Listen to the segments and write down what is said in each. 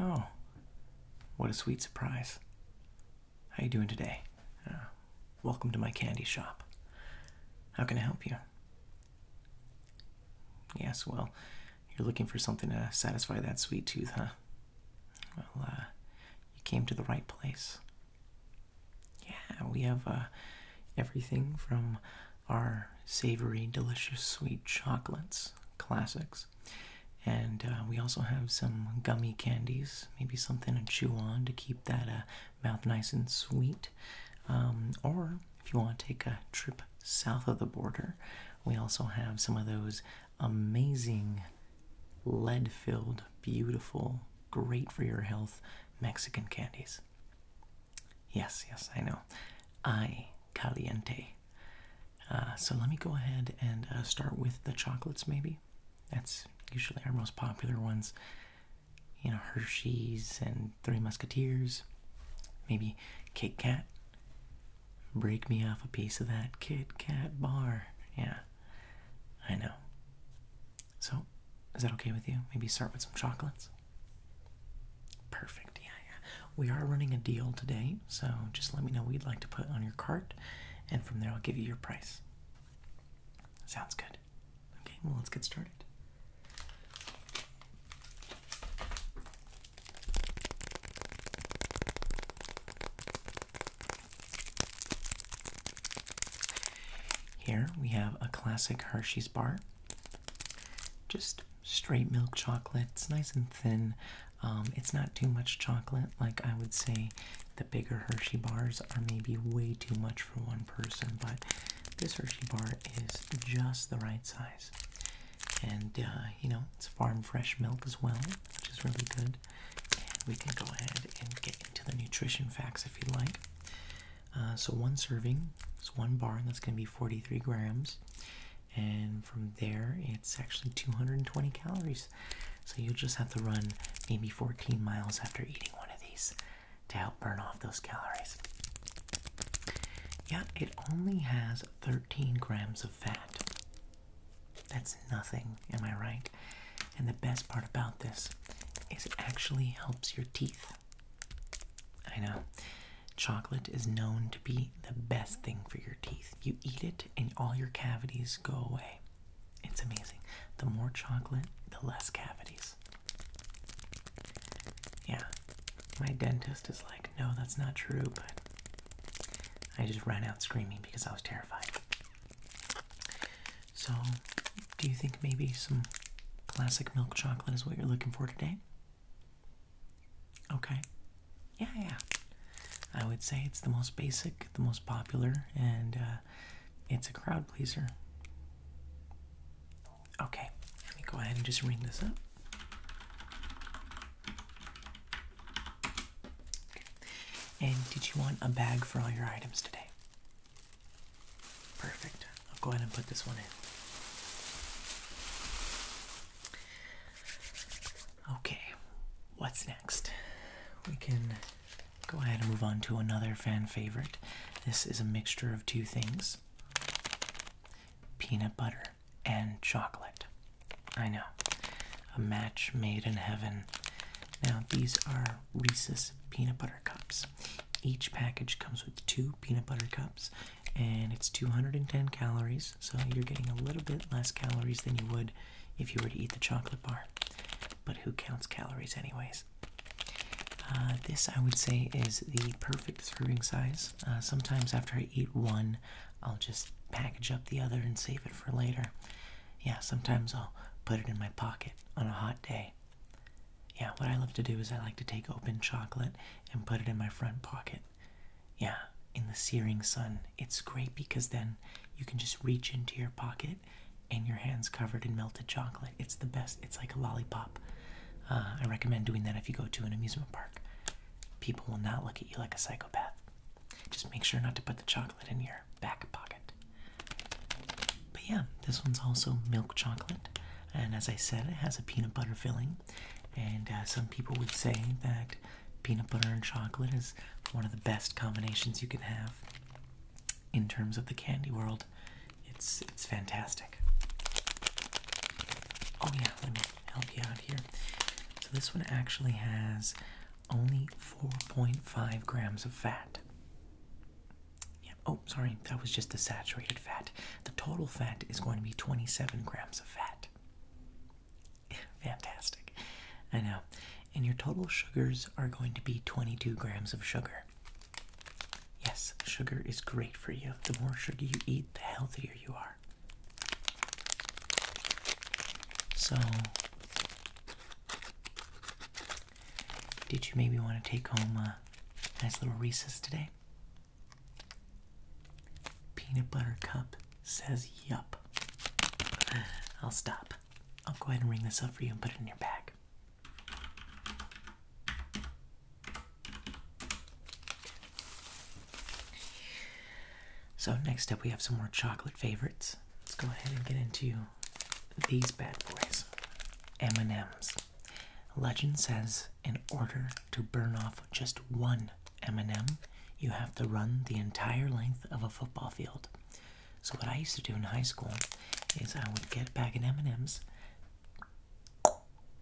Oh, what a sweet surprise. How you doing today? Uh, welcome to my candy shop. How can I help you? Yes, well, you're looking for something to satisfy that sweet tooth, huh? Well, uh, you came to the right place. Yeah, we have uh, everything from our savory, delicious, sweet chocolates, classics, and uh, we also have some gummy candies, maybe something to chew on to keep that uh, mouth nice and sweet. Um, or if you want to take a trip south of the border, we also have some of those amazing lead filled, beautiful, great for your health Mexican candies. Yes, yes, I know. I caliente. Uh, so let me go ahead and uh, start with the chocolates, maybe. That's usually our most popular ones. You know, Hershey's and Three Musketeers, maybe Kit Kat, Break me off a piece of that Kit Kat bar. Yeah, I know. So, is that okay with you? Maybe start with some chocolates? Perfect, yeah, yeah. We are running a deal today, so just let me know what you'd like to put on your cart, and from there I'll give you your price. Sounds good. Okay, well, let's get started. Here we have a classic Hershey's bar. Just straight milk chocolate. It's nice and thin. Um, it's not too much chocolate. Like I would say, the bigger Hershey bars are maybe way too much for one person, but this Hershey bar is just the right size and uh, you know it's farm fresh milk as well, which is really good. And we can go ahead and get into the nutrition facts if you'd like. Uh, so one serving is one bar, and that's going to be 43 grams. And from there, it's actually 220 calories. So you'll just have to run maybe 14 miles after eating one of these to help burn off those calories. Yeah, it only has 13 grams of fat. That's nothing, am I right? And the best part about this is it actually helps your teeth. I know. Chocolate is known to be the best thing for your teeth. You eat it and all your cavities go away. It's amazing. The more chocolate, the less cavities. Yeah, my dentist is like, no, that's not true, but I just ran out screaming because I was terrified. So, do you think maybe some classic milk chocolate is what you're looking for today? Okay. Yeah, yeah. I would say it's the most basic, the most popular, and uh, it's a crowd pleaser. Okay, let me go ahead and just ring this up. And did you want a bag for all your items today? Perfect. I'll go ahead and put this one in. Okay, what's next? We can go ahead and move on to another fan favorite. This is a mixture of two things peanut butter and chocolate. I know. A match made in heaven. Now, these are Reese's peanut butter cups. Each package comes with two peanut butter cups, and it's 210 calories, so you're getting a little bit less calories than you would if you were to eat the chocolate bar. But who counts calories, anyways? Uh, this, I would say, is the perfect serving size. Uh, sometimes after I eat one, I'll just package up the other and save it for later. Yeah, sometimes I'll put it in my pocket on a hot day. Yeah, what I love to do is I like to take open chocolate and put it in my front pocket. Yeah, in the searing sun. It's great because then you can just reach into your pocket and your hands covered in melted chocolate. It's the best. It's like a lollipop. Uh, I recommend doing that if you go to an amusement park. People will not look at you like a psychopath. Just make sure not to put the chocolate in your back pocket. But yeah, this one's also milk chocolate, and as I said, it has a peanut butter filling. And uh, some people would say that peanut butter and chocolate is one of the best combinations you can have in terms of the candy world. It's it's fantastic. Oh yeah, help you out here. So this one actually has only 4.5 grams of fat. Yeah. Oh, sorry, that was just the saturated fat. The total fat is going to be 27 grams of fat. Fantastic. I know. And your total sugars are going to be 22 grams of sugar. Yes, sugar is great for you. The more sugar you eat, the healthier you are. So, did you maybe want to take home a nice little Reese's today? Peanut butter cup says yup. I'll stop. I'll go ahead and ring this up for you and put it in your bag. So, next up, we have some more chocolate favorites. Let's go ahead and get into these bad boys. M&M's. Legend says in order to burn off just one M&M, you have to run the entire length of a football field. So what I used to do in high school is I would get a bag of M&Ms,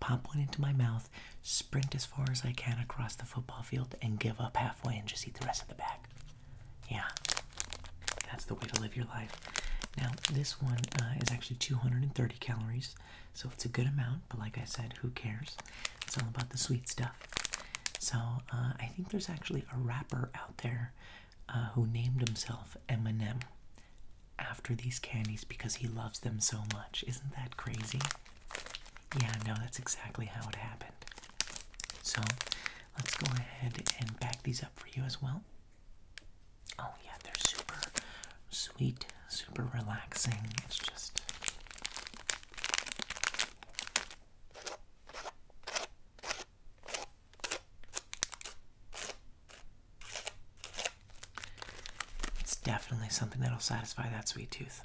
pop one into my mouth, sprint as far as I can across the football field, and give up halfway and just eat the rest of the bag. Yeah, that's the way to live your life. Now, this one uh, is actually 230 calories, so it's a good amount, but like I said, who cares? It's all about the sweet stuff. So, uh, I think there's actually a rapper out there uh, who named himself Eminem after these candies because he loves them so much. Isn't that crazy? Yeah, no, that's exactly how it happened. So let's go ahead and back these up for you as well. Oh, yeah, they're super sweet, super relaxing. It's just. It's definitely something that'll satisfy that sweet tooth.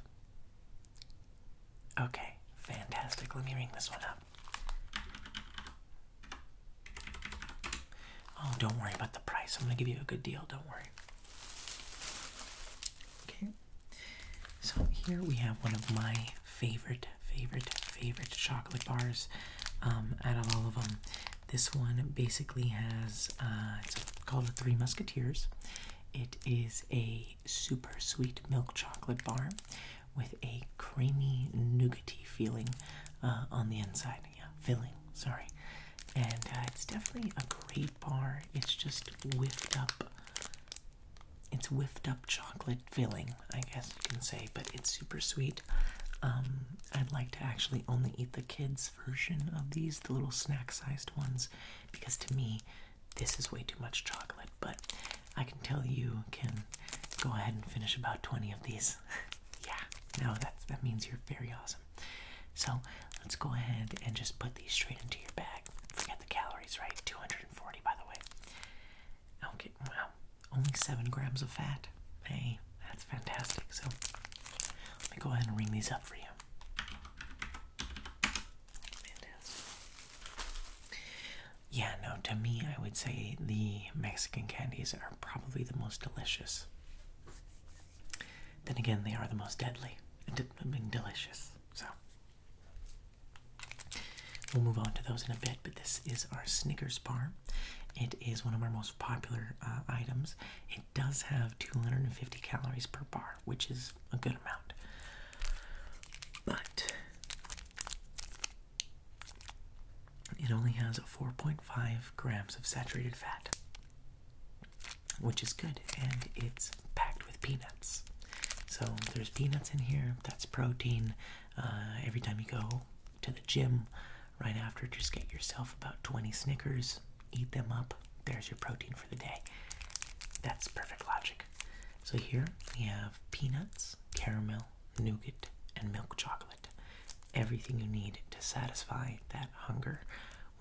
Okay, fantastic. Let me ring this one up. Oh, don't worry about the price. I'm going to give you a good deal. Don't worry. Okay. So here we have one of my favorite, favorite, favorite chocolate bars um, out of all of them. This one basically has, uh, it's called the Three Musketeers. It is a super sweet milk chocolate bar with a creamy nougaty feeling uh, on the inside. filling. Sorry, and uh, it's definitely a great bar. It's just whiffed up. It's whiffed up chocolate filling, I guess you can say, but it's super sweet. Um, I'd like to actually only eat the kids' version of these, the little snack-sized ones, because to me, this is way too much chocolate, but I can tell you can go ahead and finish about 20 of these. yeah, no, that, that means you're very awesome. So let's go ahead and just put these straight into your bag. Forget the calories, right? 240, by the way. Okay, wow, only 7 grams of fat. Hey, that's fantastic. So let me go ahead and ring these up for you. Yeah, no, to me, I would say the Mexican candies are probably the most delicious. Then again, they are the most deadly. Being delicious. So, we'll move on to those in a bit, but this is our Snickers bar. It is one of our most popular uh, items. It does have 250 calories per bar which is a good amount. But it only has 4.5 grams of saturated fat, which is good, and it's packed with peanuts. So there's peanuts in here, that's protein. Uh, every time you go to the gym, right after, just get yourself about 20 Snickers, eat them up, there's your protein for the day. That's perfect logic. So here we have peanuts, caramel, nougat, and milk chocolate. Everything you need to satisfy that hunger.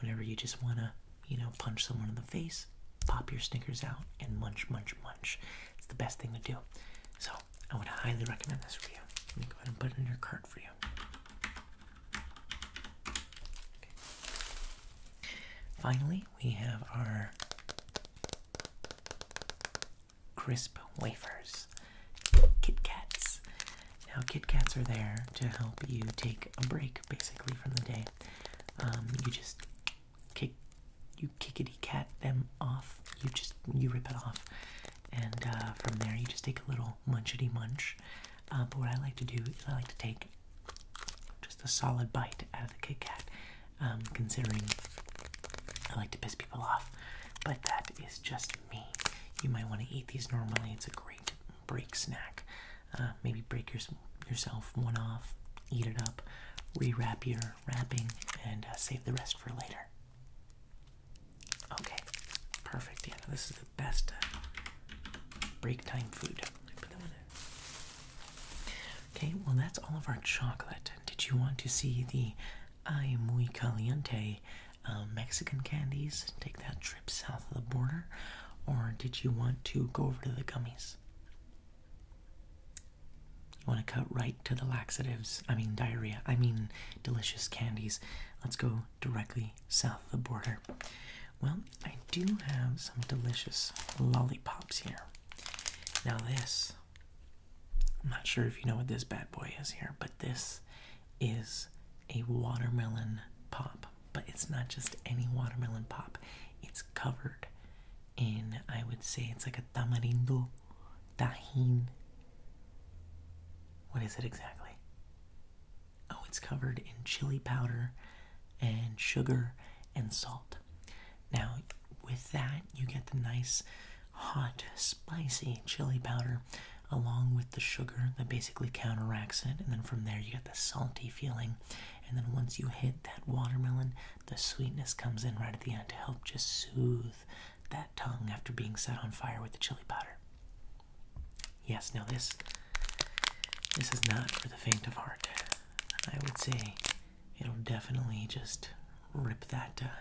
Whenever you just want to, you know, punch someone in the face, pop your Snickers out and munch, munch, munch. It's the best thing to do. So I would highly recommend this for you. Let me go ahead and put it in your cart for you. Finally, we have our crisp wafers, Kit Now, Kit Kats are there to help you take a break, basically, from the day. Um, you just kick, you kickety cat them off. You just you rip it off, and uh, from there you just take a little munchity munch. Uh, but what I like to do is I like to take just a solid bite out of the KitKat, um, considering I like to piss people off, but that is just me. You might want to eat these normally. It's a great break snack. Uh, maybe break your, yourself one off, eat it up, rewrap your wrapping, and uh, save the rest for later. Okay, perfect. Yeah, this is the best uh, break time food. Put that one in. Okay, well, that's all of our chocolate. Did you want to see the Ay Muy Caliente uh, Mexican candies? Take that trip south of the border? Or did you want to go over to the gummies? You want to cut right to the laxatives, I mean diarrhea, I mean delicious candies. Let's go directly south of the border. Well, I do have some delicious lollipops here. Now, this, I'm not sure if you know what this bad boy is here, but this is a watermelon pop. But it's not just any watermelon pop, it's covered in, I would say, it's like a tamarindo, tahin. What is it exactly? Oh, it's covered in chili powder and sugar and salt. Now, with that, you get the nice, hot, spicy chili powder along with the sugar that basically counteracts it, and then from there, you get the salty feeling. And then once you hit that watermelon, the sweetness comes in right at the end to help just soothe that tongue after being set on fire with the chili powder. Yes, now this this is not for the faint of heart. I would say it'll definitely just rip that, uh,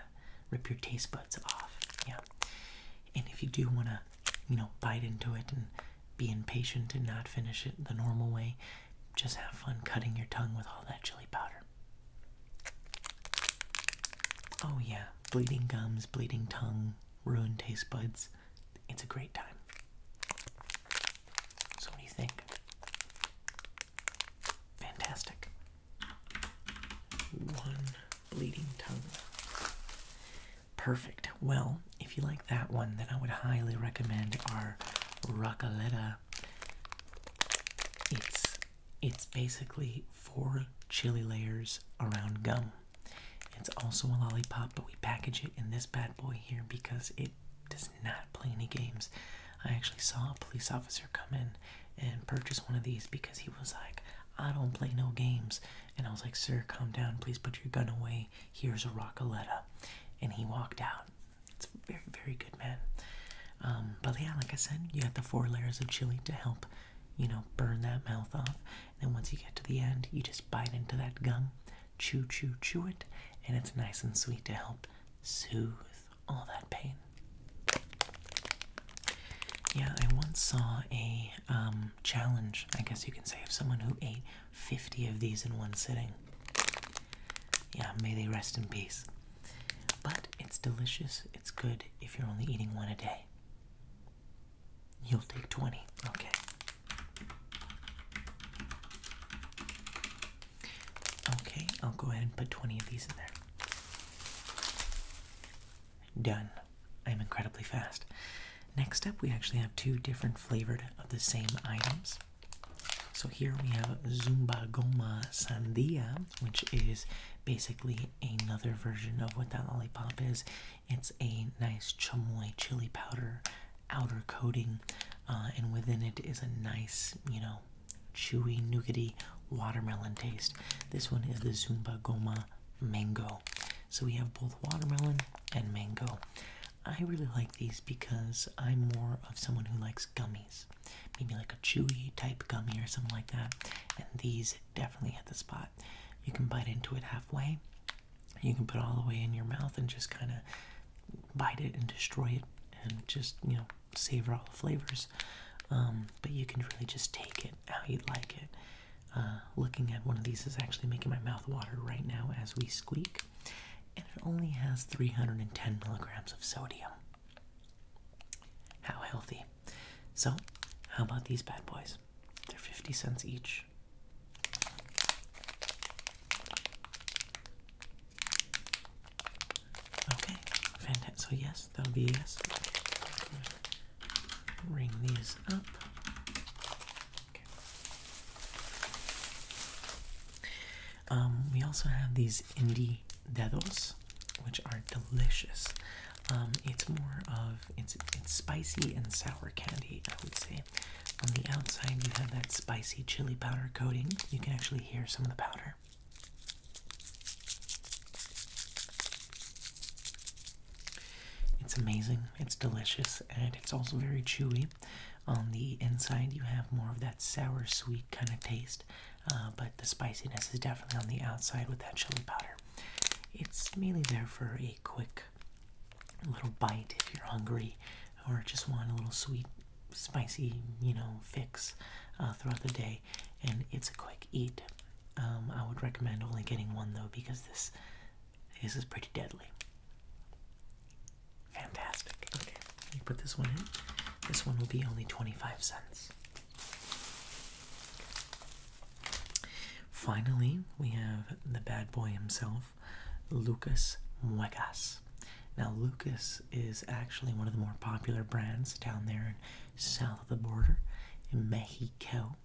rip your taste buds off. Yeah. And if you do want to, you know, bite into it and be impatient and not finish it the normal way, just have fun cutting your tongue with all that chili powder. Oh, yeah. Bleeding gums, bleeding tongue, ruined taste buds. It's a great time. So, what do you think? Fantastic. One bleeding tongue. Perfect. Well, if you like that one, then I would highly recommend our Rocaletta. It's it's basically four chili layers around gum. It's also a lollipop, but we package it in this bad boy here because it does not play any games. I actually saw a police officer come in and purchase one of these because he was like, I don't play no games. And I was like, Sir, calm down. Please put your gun away. Here's a Rockaletta. And he walked out. It's very, very good, man. Um, but yeah, like I said, you got the four layers of chili to help, you know, burn that mouth off. And then once you get to the end, you just bite into that gum chew, chew, chew it, and it's nice and sweet to help soothe all that pain. Yeah, I once saw a um, challenge, I guess you can say, of someone who ate 50 of these in one sitting. Yeah, may they rest in peace. But it's delicious, it's good if you're only eating one a day. You'll take 20. Okay. Okay, I'll go ahead and put 20 of these in there. Done. I'm incredibly fast. Next up, we actually have two different flavored of the same items. So here we have Zumba Goma Sandia, which is basically another version of what that lollipop is. It's a nice chamoy chili powder outer coating, uh, and within it is a nice, you know, chewy, nougaty watermelon taste. This one is the Zumba Goma Mango. So we have both watermelon and mango. I really like these because I'm more of someone who likes gummies, maybe like a chewy type gummy or something like that. And these definitely hit the spot. You can bite into it halfway, you can put all the way in your mouth and just kind of bite it and destroy it and just you know savor all the flavors um, but you can really just take it how you'd like it uh, looking at one of these is actually making my mouth water right now as we squeak and it only has 310 milligrams of sodium how healthy so how about these bad boys they're 50 cents each Okay, fantastic. So yes, that'll be yes. Ring these up. Um, we also have these indie dedos, which are delicious. Um, it's more of it's spicy and sour candy, I would say. On the outside, you have that spicy chili powder coating. You can actually hear some of the powder. It's amazing, it's delicious, and it's also very chewy. On the inside, you have more of that sour sweet kind of taste, uh, but the spiciness is definitely on the outside with that chili powder. It's mainly there for a quick little bite if you're hungry or just want a little sweet spicy, you know, fix uh, throughout the day, and it's a quick eat. Um, I would recommend only getting one though because this this is pretty deadly. Fantastic. Okay, you put this one in. This one will be only twenty-five cents. Finally, we have the bad boy himself, Lucas Muecas. Now, Lucas is actually one of the more popular brands down there in south of the border in Mexico.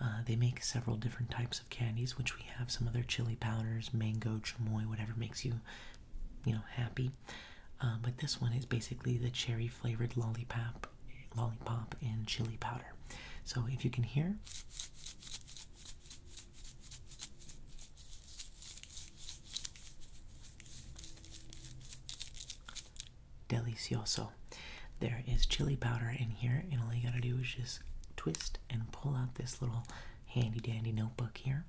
Uh, they make several different types of candies, which we have some other chili powders, mango, chamoy, whatever makes you, you know, happy. Uh, but this one is basically the cherry flavored lollipop, lollipop and chili powder. So if you can hear, Delicioso. There is chili powder in here, and all you gotta do is just twist and pull out this little handy dandy notebook here,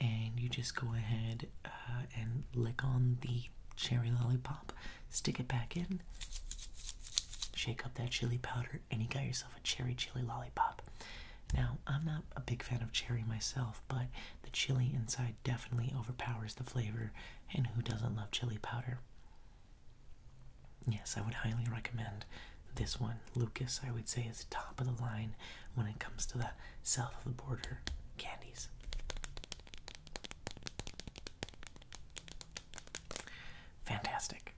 and you just go ahead uh, and lick on the cherry lollipop, stick it back in, shake up that chili powder, and you got yourself a cherry chili lollipop. Now, I'm not a big fan of cherry myself, but the chili inside definitely overpowers the flavor, and who doesn't love chili powder? Yes, I would highly recommend this one. Lucas, I would say, is top of the line when it comes to the south of the border candies. Fantastic.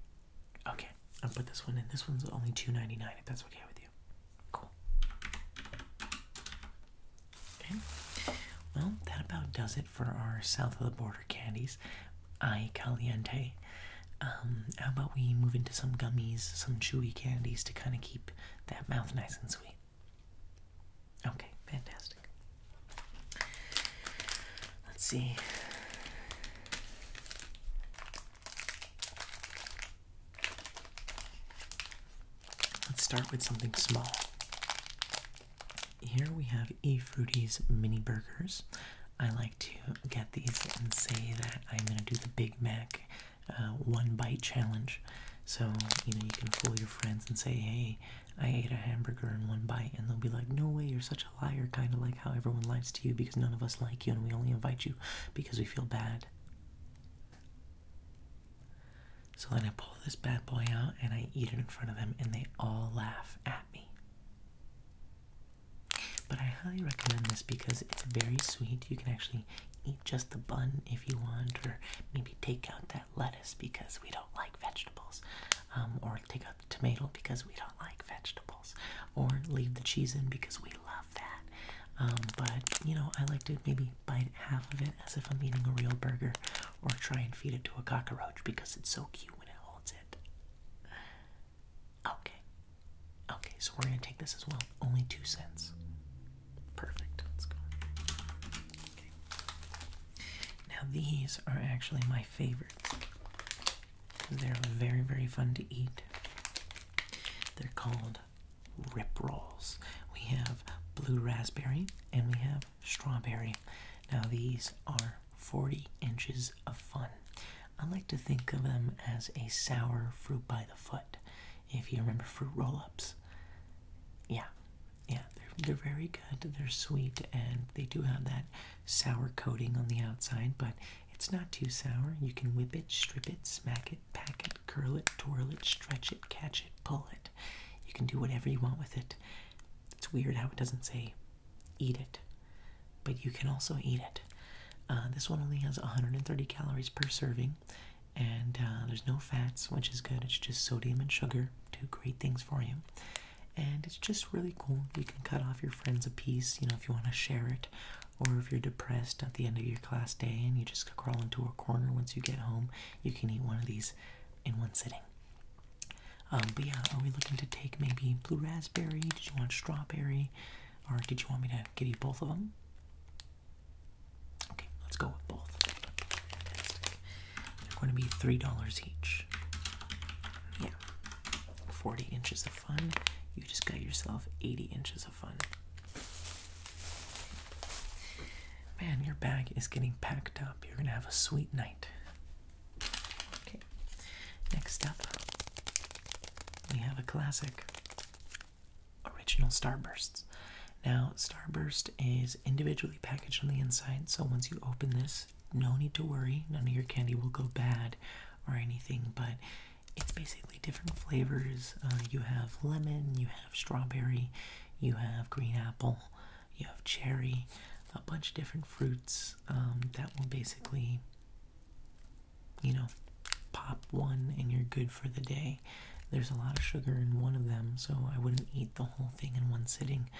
Okay, I'll put this one in. This one's only two ninety nine. If that's okay with you, cool. Okay. Well, that about does it for our south of the border candies. I caliente. Um, how about we move into some gummies, some chewy candies to kind of keep that mouth nice and sweet. Okay, fantastic. Let's see. Let's start with something small. Here we have eFruity's mini burgers. I like to get these and say that I'm going to do the Big Mac uh, one bite challenge. So, you know, you can fool your friends and say, hey, I ate a hamburger in one bite. And they'll be like, no way, you're such a liar, kind of like how everyone lies to you because none of us like you and we only invite you because we feel bad. So then I pull this bad boy out and I eat it in front of them, and they all laugh at me. But I highly recommend this because it's very sweet. You can actually eat just the bun if you want, or maybe take out that lettuce because we don't like vegetables, um, or take out the tomato because we don't like vegetables, or leave the cheese in because we love um, but you know, I like to maybe bite half of it as if I'm eating a real burger, or try and feed it to a cockroach because it's so cute when it holds it. Okay. Okay, so we're gonna take this as well. Only two cents. Perfect. Let's go. Okay. Now these are actually my favorites. They're very, very fun to eat. They're called rip rolls. We have blue raspberry and we have strawberry. Now, these are 40 inches of fun. I like to think of them as a sour fruit by the foot. If you remember fruit roll ups, yeah, yeah, they're, they're very good. They're sweet and they do have that sour coating on the outside, but it's not too sour. You can whip it, strip it, smack it, pack it, curl it, twirl it, stretch it, catch it, pull it. You can do whatever you want with it. It's weird how it doesn't say eat it, but you can also eat it. Uh, this one only has 130 calories per serving, and uh, there's no fats, which is good. It's just sodium and sugar, do great things for you. And it's just really cool. You can cut off your friends a piece, you know, if you want to share it. Or if you're depressed at the end of your class day and you just crawl into a corner once you get home, you can eat one of these in one sitting. Um, but yeah, are we looking to take maybe blue raspberry? Did you want strawberry? Or did you want me to give you both of them? Okay, let's go with both. Fantastic. They're going to be $3 each. Yeah. 40 inches of fun. You just got yourself 80 inches Man, your bag is getting packed up. You're going to have a sweet night. Okay, next up, we have a classic original Starbursts. Now, Starburst is individually packaged on the inside, so once you open this, no need to worry. None of your candy will go bad or anything, but it's basically different flavors. Uh, you have lemon, you have strawberry, you have green apple, you have cherry, a bunch of different fruits um, that will basically, you know, pop one and you're good for the day. There's a lot of sugar in one of them, so I wouldn't eat the whole thing in one sitting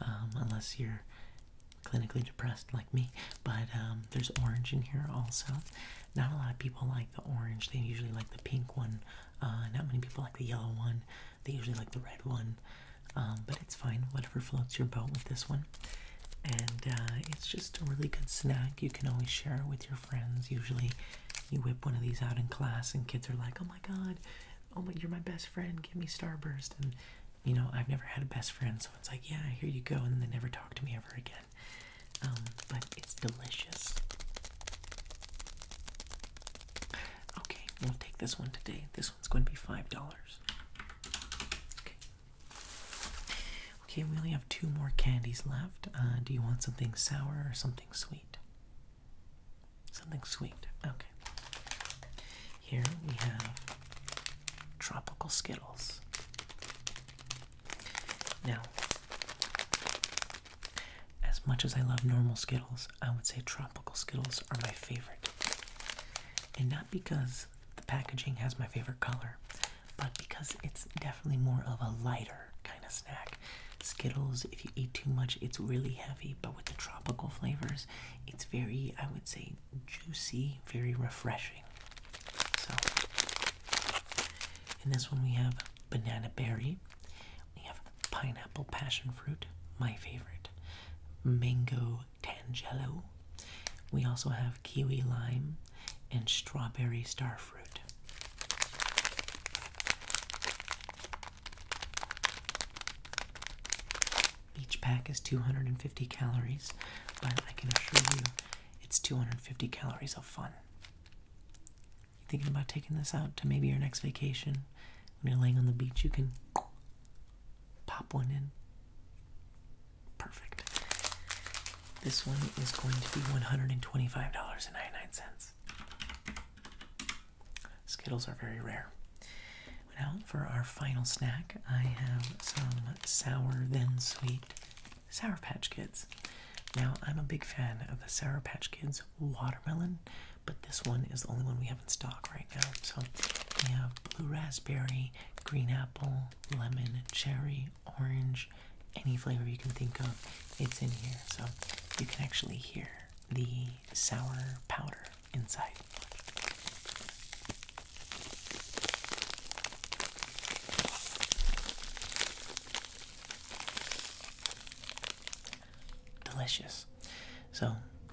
um, unless you're clinically depressed like me. But um, there's orange in here also. Not a lot of people like the orange. They usually like the pink one. Uh, not many people like the yellow one. They usually like the red one. Um, but it's fine. Whatever floats your boat with this one. And uh, it's just a really good snack. You can always share it with your friends. Usually you whip one of these out in class and kids are like, oh my god, oh my, you're my best friend. Give me Starburst. And you know, I've never had a best friend. So it's like, yeah, here you go. And they never talk to me ever again. Um, but it's delicious. Okay, we'll take this one today. This one's going to be five dollars. Okay. we only have two more candies left. Uh, do you want something sour or something sweet? Something sweet. Okay. Here we have tropical Skittles. Now, as much as I love normal Skittles, I would say tropical Skittles are my favorite. And not because the packaging has my favorite color, but because it's definitely more of a lighter kind of snack. Skittles, if you eat too much, it's really heavy, but with the tropical flavors, it's very, I would say, juicy, very refreshing. So, in this one, we have banana berry, we have pineapple passion fruit, my favorite, mango tangelo. We also have kiwi lime and strawberry starfruit. Each pack is 250 calories, but I can assure you it's 250 calories of fun. You thinking about taking this out to maybe your next vacation? When you're laying on the beach, you can pop one in. Perfect. This one is going to be $125.99. Skittles are very rare. Now, for our final snack, I have some sour then sweet Sour Patch Kids. Now, I'm a big fan of the Sour Patch Kids watermelon, but this one is the only one we have in stock right now. So we have blue raspberry, green apple, lemon, cherry, orange, any flavor you can think of, it's in here. So you can actually hear the sour powder inside. Delicious. So,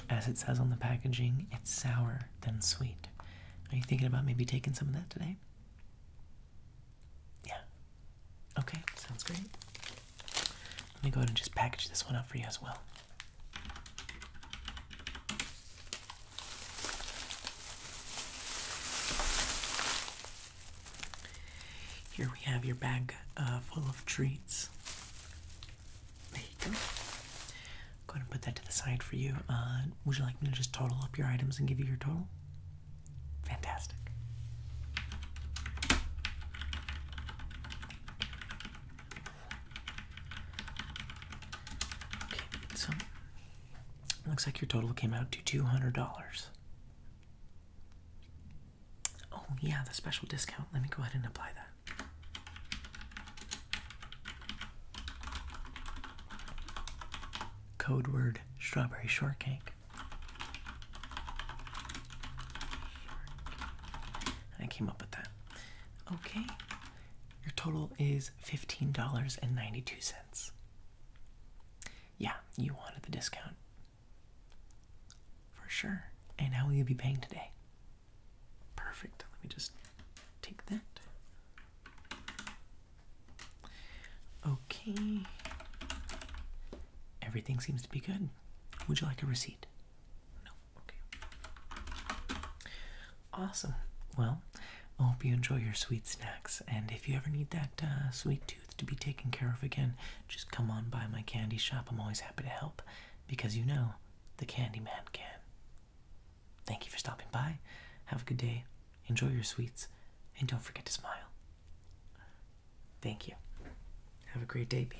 as it says on the packaging, it's sour, then sweet. Are you thinking about maybe taking some of that today? Yeah. Okay, sounds great. Let me go ahead and just package this one up for you as well. Here we have your bag uh, full of treats. There you go. Go ahead and put that to the side for you. Uh, would you like me to just total up your items and give you your total? Fantastic. Okay, so Looks like your total came out to $200. Oh, yeah, the special discount. Let me go ahead and apply that. Code word strawberry shortcake. I came up with that. Okay, your total is $15.92. Yeah, you wanted the discount. For sure. And how will you be paying today? Perfect. Let me just take that. Okay. Everything seems to be good. Would you like a receipt? No. Okay. Awesome. Well, I hope you enjoy your sweet snacks. And if you ever need that uh, sweet tooth to be taken care of again, just come on by my candy shop. I'm always happy to help because you know the candy man can. Thank you for stopping by. Have a good day. Enjoy your sweets. And don't forget to smile. Thank you. Have a great day, B.